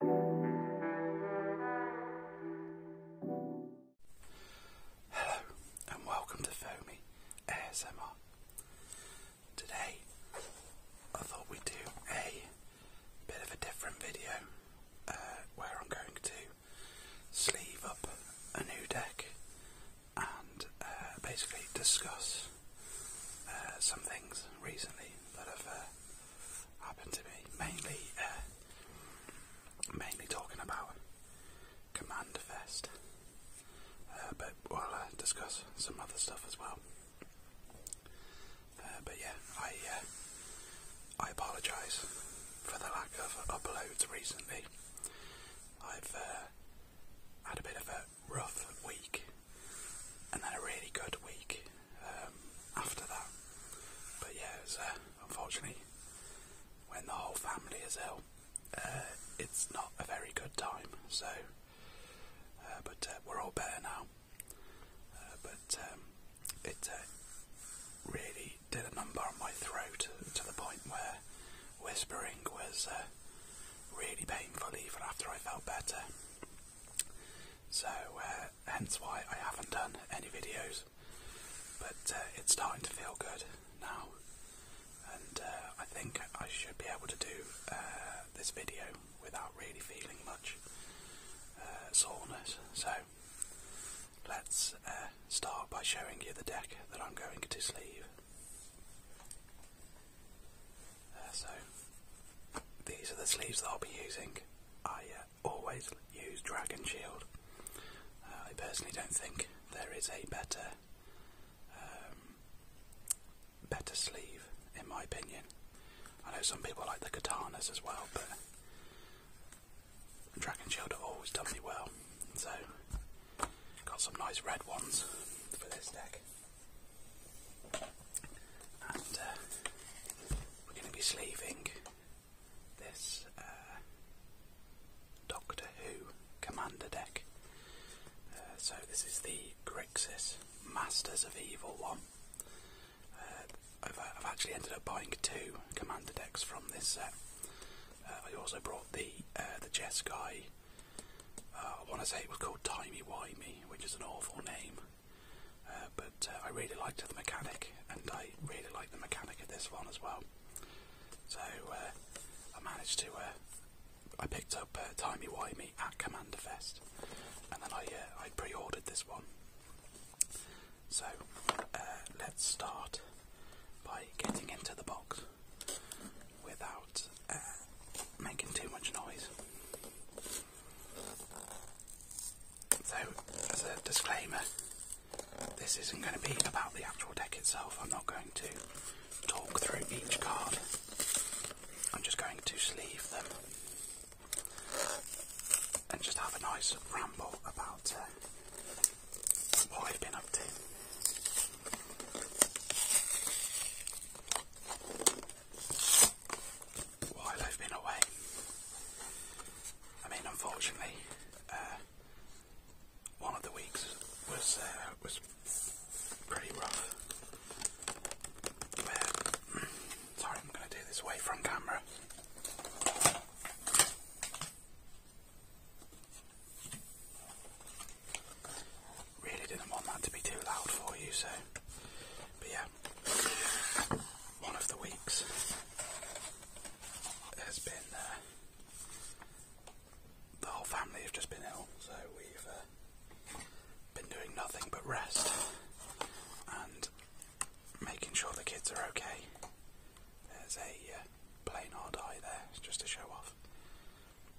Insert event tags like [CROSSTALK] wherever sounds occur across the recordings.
Hello and welcome to Foamy ASMR. Today I thought we'd do a bit of a different video uh, where I'm going to sleeve up a new deck and uh, basically discuss uh, some things recently that have happened to me. Mainly, uh, mainly talking about Commander Fest, uh, but we'll discuss some other stuff as well. Uh, but yeah, I uh, I apologise for the lack of uploads recently. I've had a bit of a rough week and then a really good week um, after that. But yeah, it was, uh, unfortunately, when the whole family is ill, uh, it's not a very good time. So, uh, but we're all better now. but um, it really did a number on my throat to the point where whispering was really painful even after I felt better. So uh, hence why I haven't done any videos, but uh, it's starting to feel good now, and uh, I think I should be able to do this video without really feeling much soreness. So let's start by showing you the deck that I'm going to sleeve. Uh, so these are the sleeves that I'll be using. I uh, always use Dragon Shield. Uh, I personally don't think there is a better um, better sleeve, in my opinion. I know some people like the katanas as well, but Dragon Shield have always done me well. So got some nice red ones for this deck. Uh, we're going to be sleeving this uh, Doctor Who Commander deck. Uh, so this is the Grixis Masters of Evil one. I've, actually ended up buying two Commander decks from this set. I also brought the uh, the Jeskai. I want to say it was called Timey Wimey, which is an awful name. Uh, but uh, I really liked the mechanic, and I really liked the mechanic of this one as well. So uh, I managed to. I picked up uh, Timey Wimey at Commander Fest, and then I I pre-ordered this one. So let's start by getting into the box without making too much noise. So, as a disclaimer, this isn't going to be about the actual deck itself. I'm not going to talk through each card. I'm just going to sleeve them and just have a nice ramble about uh, what we have been up to while I've been away. I mean, unfortunately, uh, one of the weeks was uh, was pretty rough. [CLEARS THROAT] sorry, I'm going to do this away from camera really didn't want that to be too loud for you, so. But yeah, one of the weeks has been. Uh, the whole family have just been ill, so we've uh, been doing nothing but rest and making sure the kids are okay. There's a uh, plain hard eye there, just to show off.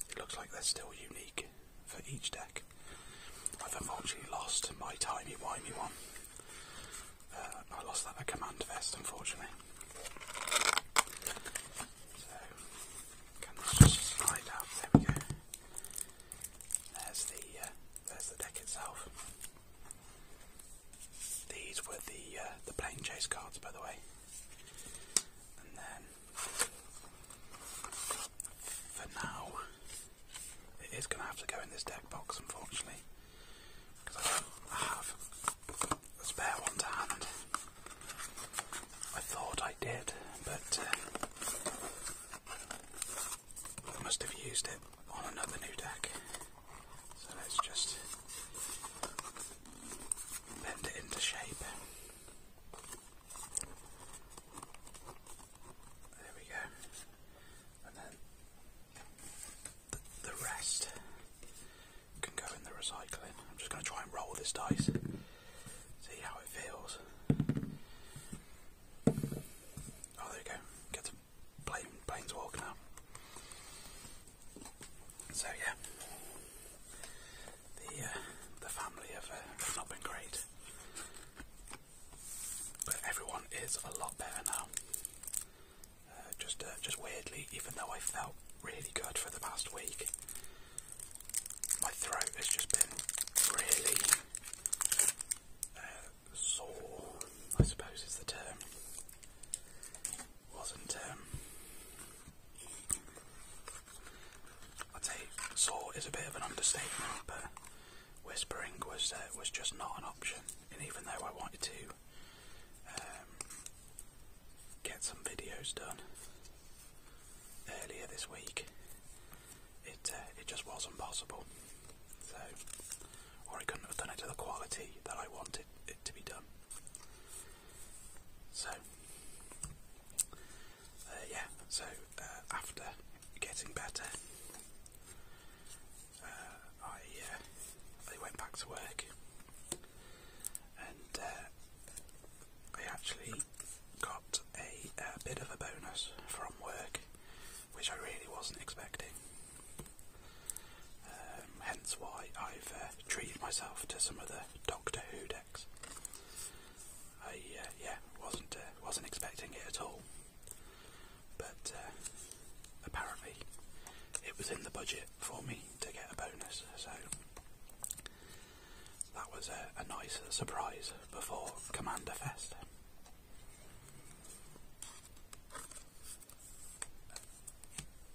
It looks like they're still unique for each deck. I've unfortunately lost my tiny whiny one. Uh, I lost that at Command Vest, unfortunately. So, can this just slide out? There we go. There's the, uh, there's the deck itself. These were the, uh, the Plane Chase cards, by the way for now, it is going to have to go in this deck box, unfortunately, I have a spare one to hand. I thought I did, but uh, I must have used it on another new deck. So let's just bend it into shape. There we go. And then the rest can go in the recycling. I'm just going to try and roll this dice, see how it feels. Oh, there you go. Get some plain, planes walk now. So yeah, the uh, the family uh, have, not been great, but everyone is a lot better now. Uh, just just weirdly, even though I felt really good for the past week, my throat has just been really sore. I suppose is the term. Wasn't um, I'd say "saw" is a bit of an understatement, but whispering was uh, was just not an option. And even though I wanted to um, get some videos done earlier this week, it uh, it just wasn't possible. So, or I couldn't have done it to the quality that I wanted it to be done. So, uh, yeah, so uh, after getting better, uh, I went back to work, and I actually got a, bit of a bonus from work, which I really wasn't expecting. Um, hence why I've treated myself to some of the Doctor Who I uh, yeah wasn't uh, wasn't expecting it at all, but uh, apparently it was in the budget for me to get a bonus, so that was a, nice surprise before Commander Fest.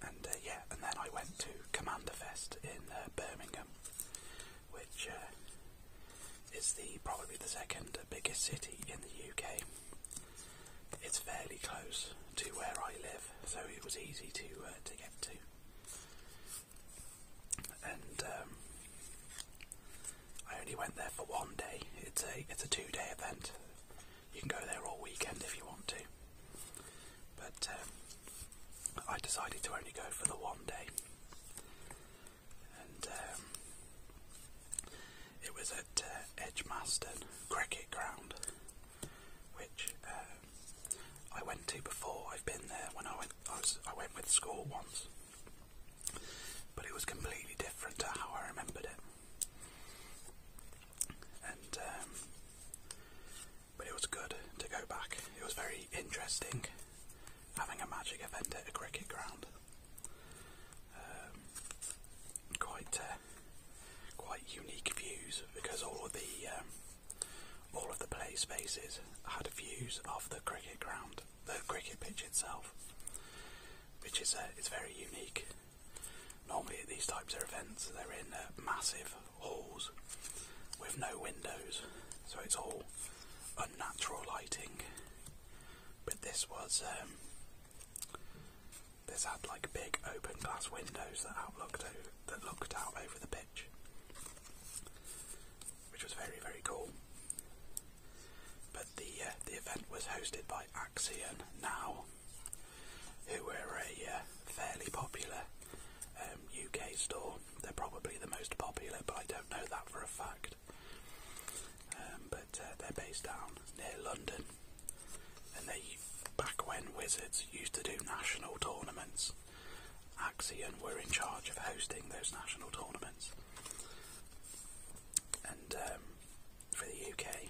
And yeah, and then I went to Commander Fest in Birmingham which uh, is the probably the second biggest city in the UK. It's fairly close to where I live, so it was easy to uh, to get to. And um, I only went there for one day. It's a it's a two day event. You can go there all weekend if you want to but um, I decided to only go for the one day, and um, it was at uh, Cricket Ground, which uh, I went to before. I've been there when I went. I, went with school once, but it was completely different to how I remembered it. And um, but it was good to go back. It was very interesting having a magic event at a cricket ground. Um, quite uh, quite unique views because all of the um, all of the play spaces had views of the cricket ground, the cricket pitch itself, which is uh, it's very unique. Normally at these types of events, they're in massive halls with no windows, so it's all unnatural lighting. But this was um, this had like big open glass windows that outlooked that looked out over the pitch, which was very very cool. But the uh, the event was hosted by Axion Now, who are a uh, fairly popular um, UK store. They're probably the most popular, but I don't know that for a fact. Um, but uh, they're based down near London, and they back when Wizards used to do national tournaments. Axion were in charge of hosting those national tournaments. And um, for the UK,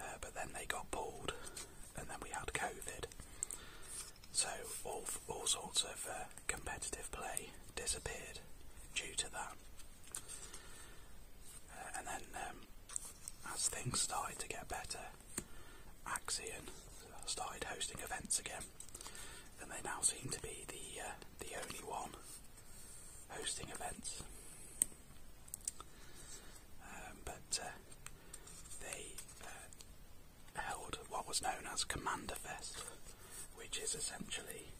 uh, but then they got pulled and then we had COVID. So all all sorts of uh, competitive play disappeared due to that. Uh, and then um, as things started to get better, Axion started hosting events again, and they now seem to be the uh, the only one hosting events. Um, but uh, they uh, held what was known as Commander Fest, which is essentially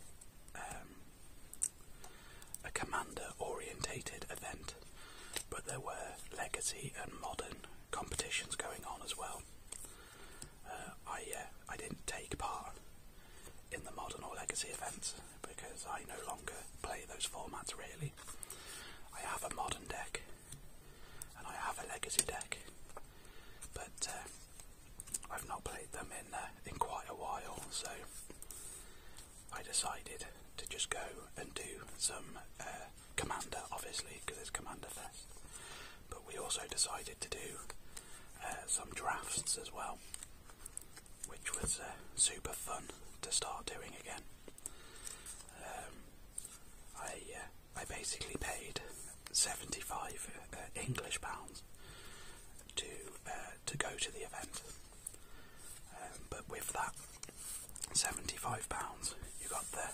um, a commander-orientated event, but there were legacy and modern competitions going on as well. Uh, I I didn't take part in the modern or legacy events because I no longer play those formats really. I have a modern deck and I have a legacy deck, but uh, I've not played them in uh, in quite a while, so I decided to just go and do some uh, Commander, obviously, because it's Commander Fest. But we also decided to do some drafts as well, which was super fun to start doing again. Um, I uh, I basically paid seventy five uh, English pounds to uh, to go to the event, um, but with that seventy five pounds, you got the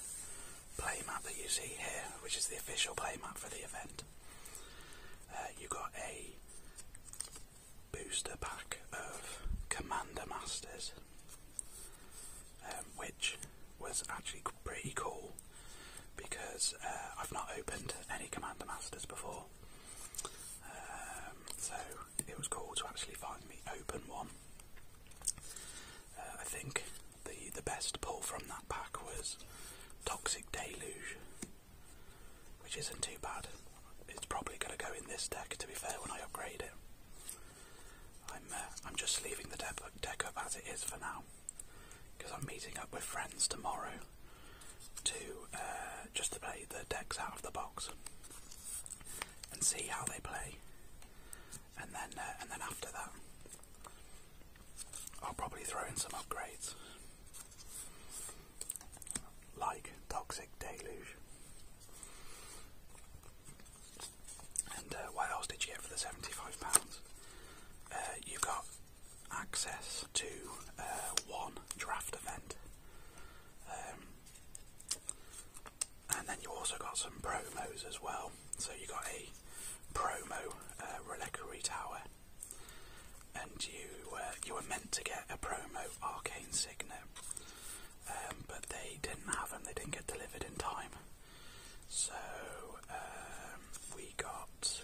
play map that you see here, which is the official play map for the event. you got a booster pack of Commander Masters, um, which was actually pretty cool because uh, I've not opened any Commander Masters before. Um, so it was cool to actually finally open one. Uh, I think the the best pull from that pack was Toxic Deluge, which isn't too bad it's probably going to go in this deck. To be fair, when I upgrade it, I'm uh, I'm just leaving the deck deck up as it is for now, because I'm meeting up with friends tomorrow to uh, just play the decks out of the box and see how they play, and then uh, and then after that, I'll probably throw in some upgrades like Toxic Deluge. And uh, what else did you get for the seventy-five pounds? Uh, you got access to uh, one draft event, um, and then you also got some promos as well. So you got a promo uh, reliquary tower, and you you were meant to get a promo arcane signet, um, but they didn't have them, they didn't get delivered in time. So um, we got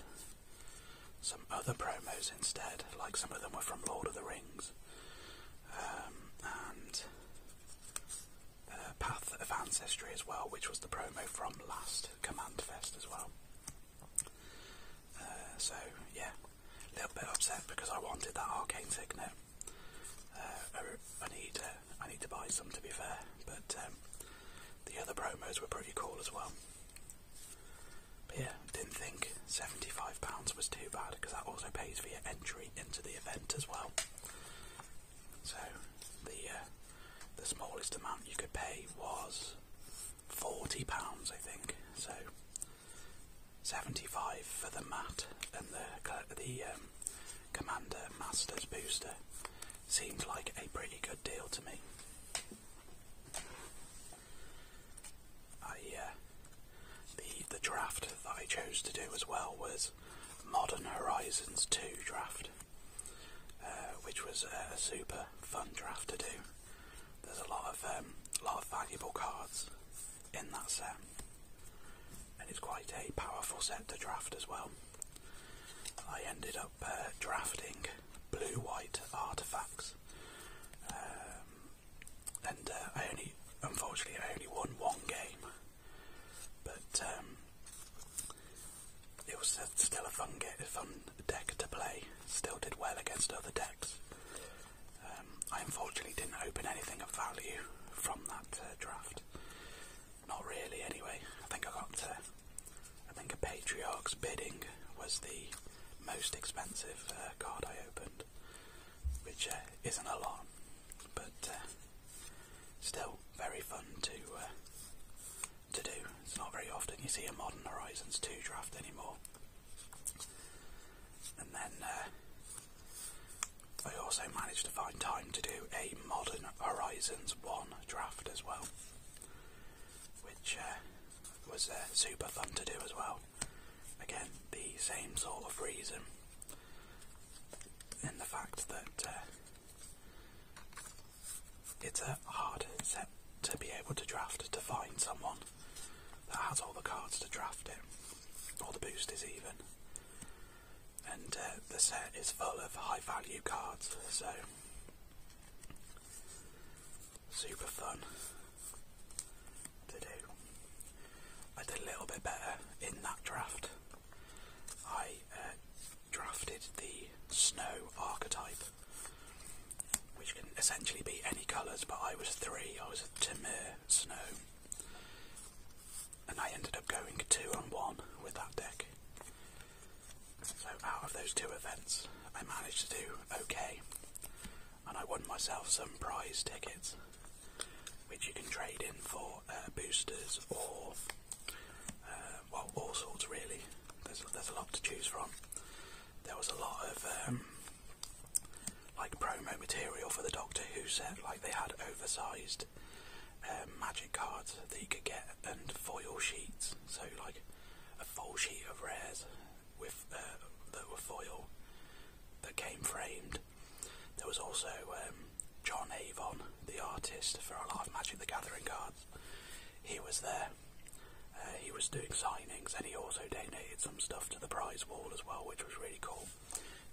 some other promos instead, like some of them were from Lord of the Rings um, and uh, Path of Ancestry as well, which was the promo from last Command Fest as well. Uh, so yeah, a little bit upset because I wanted that arcane signet. Uh, er, uh, I, need to buy some to be fair, but um, the other promos were pretty cool as well. But yeah, didn't think £75 was too bad because that also pays for your entry into the event as well. So the uh, the smallest amount you could pay was forty pounds, I think. So 75 for the mat and the the um, commander masters booster seems like a pretty good deal to me. I uh, the the draft that I chose to do as well was Modern Horizons 2 draft, uh, which was a super fun draft to do. There's a lot of um, lot of valuable cards in that set, and it's quite a powerful set to draft as well. I ended up uh, drafting blue-white artifacts, um, and uh, I only, unfortunately, I only won one game, but um, it was still a fun, game, get, fun deck to play. Still did well against other decks, um, I unfortunately didn't open anything of value from that uh, draft. Not really, anyway. I think I got. Uh, I think a Patriarch's bidding was the most expensive uh, card I opened, which is an alarm. but still very fun to to do. It's not very often you see a modern Horizons 2 draft anymore. And then uh, I also managed to find time to do a Modern Horizons 1 draft as well, which uh, was uh, super fun to do as well. Again, the same sort of reason in the fact that it's a hard set to be able to draft to find someone that has all the cards to draft it, all the boosters even. And uh, the set is full of high value cards, so super fun to do. I did a little bit better in that draft. I uh, drafted the snow archetype which can essentially be any colours, but I was three, I was a Tamir Snow, and I ended up going two and one with that deck. So out of those two events, I managed to do okay, and I won myself some prize tickets, which you can trade in for uh, boosters or, uh, well, all sorts really. There's, there's a lot to choose from there was a lot of um, like promo material for the Doctor Who set. Like they had oversized um, magic cards that you could get and foil sheets. So like a full sheet of rares with uh, that were foil that came framed. There was also um, John Avon, the artist for a lot of Magic the Gathering cards he was there. Uh, he was doing signings, and he also donated some stuff to the prize wall as well, which was really cool.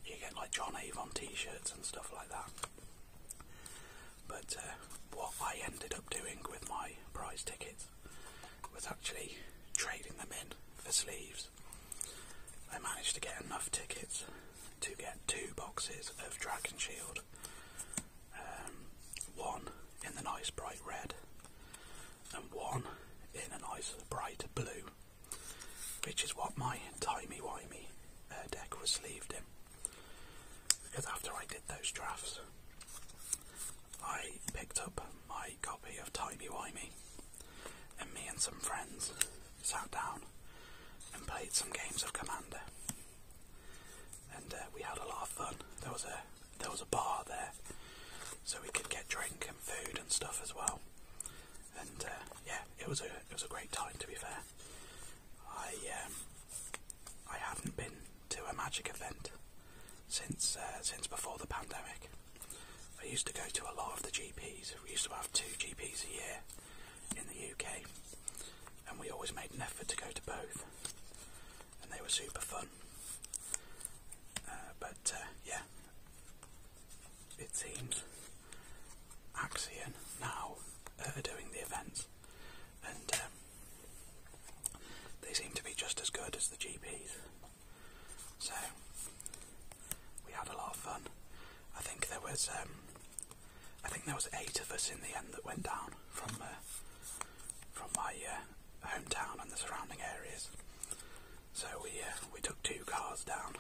You get like John Avon T-shirts and stuff like that. But uh, what I ended up doing with my prize tickets was actually trading them in for sleeves. I managed to get enough tickets to get two boxes of Dragon Shield um, one in the nice bright red and one in a nice bright blue, which is what my Timmy wimey uh, deck was sleeved in. Because after I did those drafts, I picked up my copy of Timmy wimey and me and some friends sat down and played some games of Commander. And uh, we had a lot of fun. There was a there was a bar there, so we could get drink and food and stuff as well. And uh, yeah, it was a it was a great time to be fair. I um, I haven't been to a magic event since uh, since before the pandemic. I used to go to a lot of the GPs. We used to have two GPs a year in the UK, and we always made an effort to go to both and they were super fun. Uh, but uh, yeah, it seems Axion now are doing the events, and um, they seem to be just as good as the GPs. So we had a lot of fun. I think there was um, I think there was eight of us in the end that went down from. Uh, from my uh, hometown and the surrounding areas. So we uh, we took two cars down.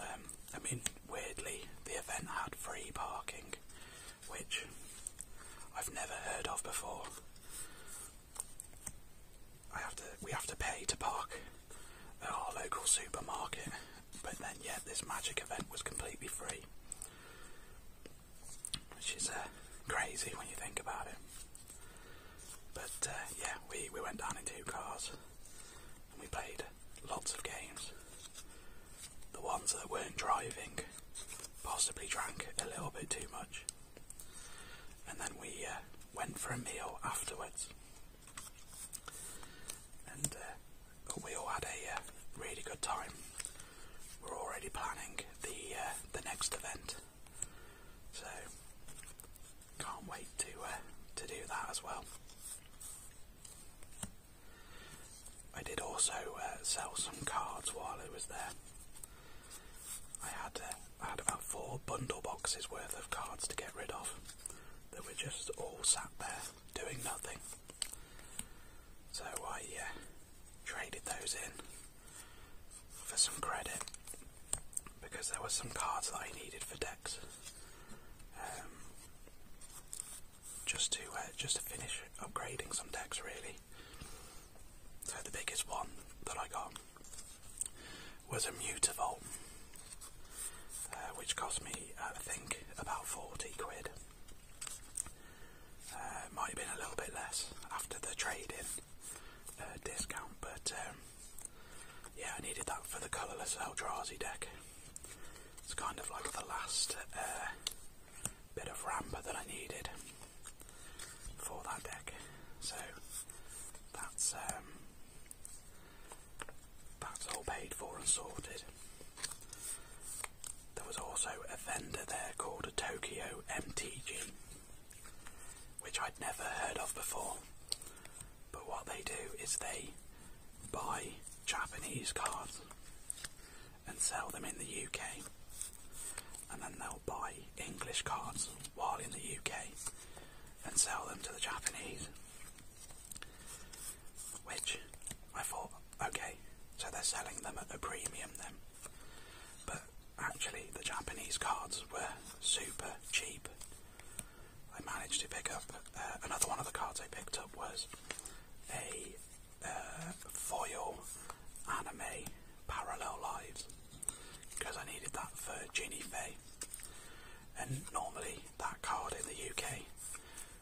Um, I mean, weirdly, the event had free parking, which I've never heard of before. I have to we have to pay to park at our local supermarket, but then yet this magic event was completely free which is uh, crazy when you think about it. But uh, yeah, we, we went down in two cars and we played lots of games. The ones that weren't driving possibly drank a little bit too much. And then we uh, went for a meal afterwards. And we all had a uh, really good time. We're already planning the uh, the next event, so can't wait to uh, to do that as well. I did also sell some cards while I was there. I had I had about four bundle boxes worth of cards to get rid of that were just all sat there doing nothing. So I uh, traded those in for some credit because there were some cards that I needed for decks. Um, just to uh, just to finish upgrading some decks really. So the biggest one that I got was a Mutavolt, uh, which cost me I think about forty quid. Uh, might have been a little bit less after the trade-in uh, discount, but um, yeah, I needed that for the colourless Eldrazi deck. It's kind of like the last uh, bit of ramp that I needed for that deck. So that's um, that's all paid for and sorted. There was also a vendor there called a Tokyo MTG, which I'd never heard of before. But what they do is they buy Japanese cards and sell them in the UK, and then they'll buy English cards while in the UK and sell them to the Japanese. Which I thought, okay, so they're selling them at a premium then. But actually, the Japanese cards were super cheap. I managed to pick up uh, another one of the cards I picked up was a uh, foil anime Parallel Lives because I needed that for Ginny Fay. And normally that card in the UK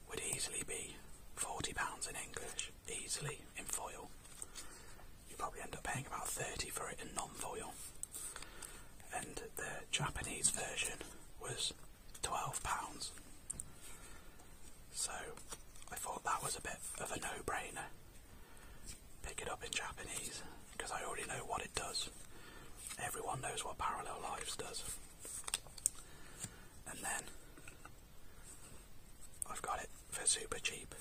would easily be £40 in English, easily, in foil. You probably end up paying about 30 for it in non-foil. And the Japanese version was £12. So I thought that was a bit of a no-brainer. Pick it up in Japanese, because I already know what it does. Everyone knows what Parallel Lives does and then I've got it for super cheap.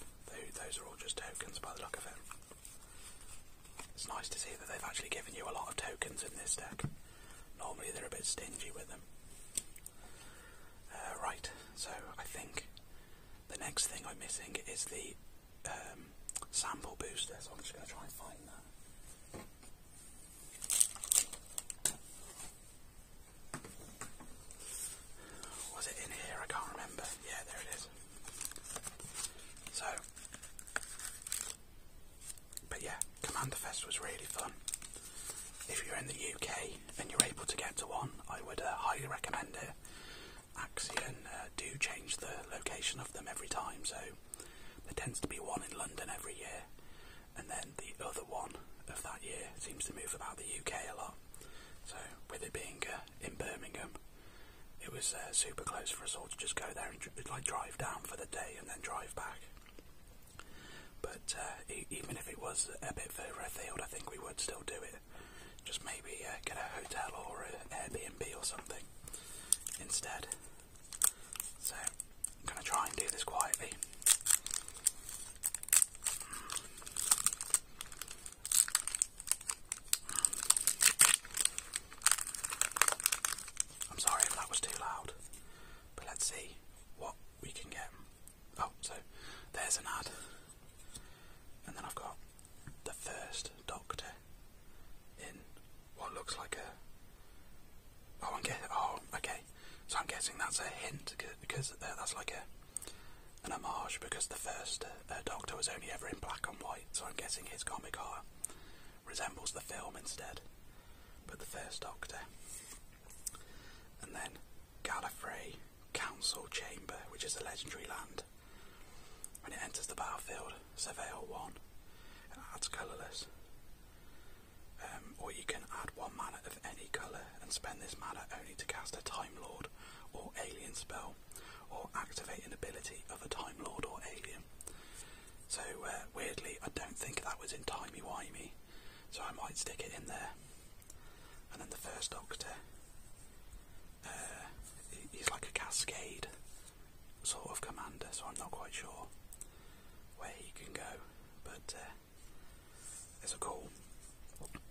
Those are all just tokens by the look of it. It's nice to see that they've actually given you a lot of tokens in this deck. Normally they're a bit stingy with them. Uh, right, so I think the next thing I'm missing is the um, sample booster, so I'm just going to try and find that. Was it in here? I can't remember. Yeah, there it is. So, but yeah, Commander Fest was really fun. If you're in the UK and you're able to get to one, I would uh, highly recommend it. Axion uh, do change the location of them every time, so there tends to be one in London every year and then the other one of that year seems to move about the UK a lot. So with it being uh, in Birmingham, it was uh, super close for us all to just go there and like drive down for the day and then drive back. But uh, even if it was a bit further afield, I think we would still do it. Just maybe get a hotel or an Airbnb or something instead. So I'm going to try and do this quietly. I'm sorry if that was too loud, but let's see what we can get. Oh, so there's an ad, and then I've got the first Doctor in what looks like a. Oh, I'm guessing. Oh, okay. So I'm guessing that's a hint because uh, that's like a an homage because the first uh, uh, Doctor was only ever in black and white. So I'm guessing his comic art resembles the film instead, but the first Doctor. And then Gallifrey Council Chamber, which is a legendary land. When it enters the battlefield, Surveil 1. And that's colourless. Um, or you can add one mana of any colour and spend this mana only to cast a Time Lord or Alien spell, or activate an ability of a Time Lord or Alien. So, uh, weirdly, I don't think that was in Timey-Wimey, so I might stick it in there. And then the first Doctor, uh, he's like a cascade sort of commander, so I'm not quite sure where he can go, but uh, it's a cool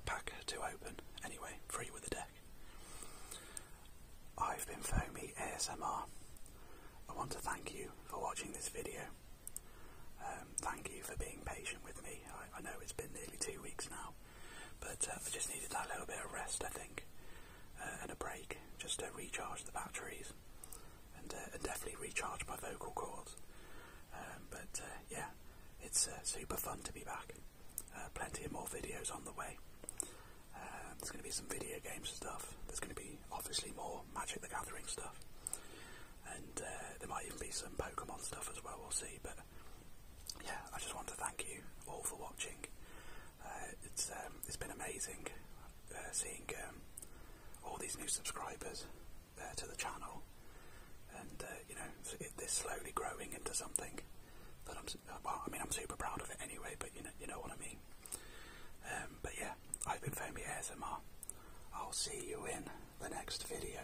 pack to open. Anyway, free with the deck. I've been Foamy ASMR. I want to thank you for watching this video. Um, thank you for being patient with me. I, know it's been nearly two weeks now, but uh, I just needed that little bit of rest, I think, uh, and a break just to recharge the batteries. Uh, and, definitely recharged by vocal cords. Um, but uh, yeah, it's uh, super fun to be back. plenty of more videos on the way. Um, there's going to be some video games stuff. There's going to be obviously more Magic the Gathering stuff, and there might even be some Pokemon stuff as well. We'll see. But yeah, I just want to thank you all for watching. Uh, it's um, it's been amazing uh, seeing um, all these new subscribers uh, to the channel, and uh, you know it, they're slowly growing into something that I'm. Well, I mean I'm super proud of it anyway, but you know you know what I mean. Um, but yeah, I've been filming Foamy ASMR. I'll see you in the next video.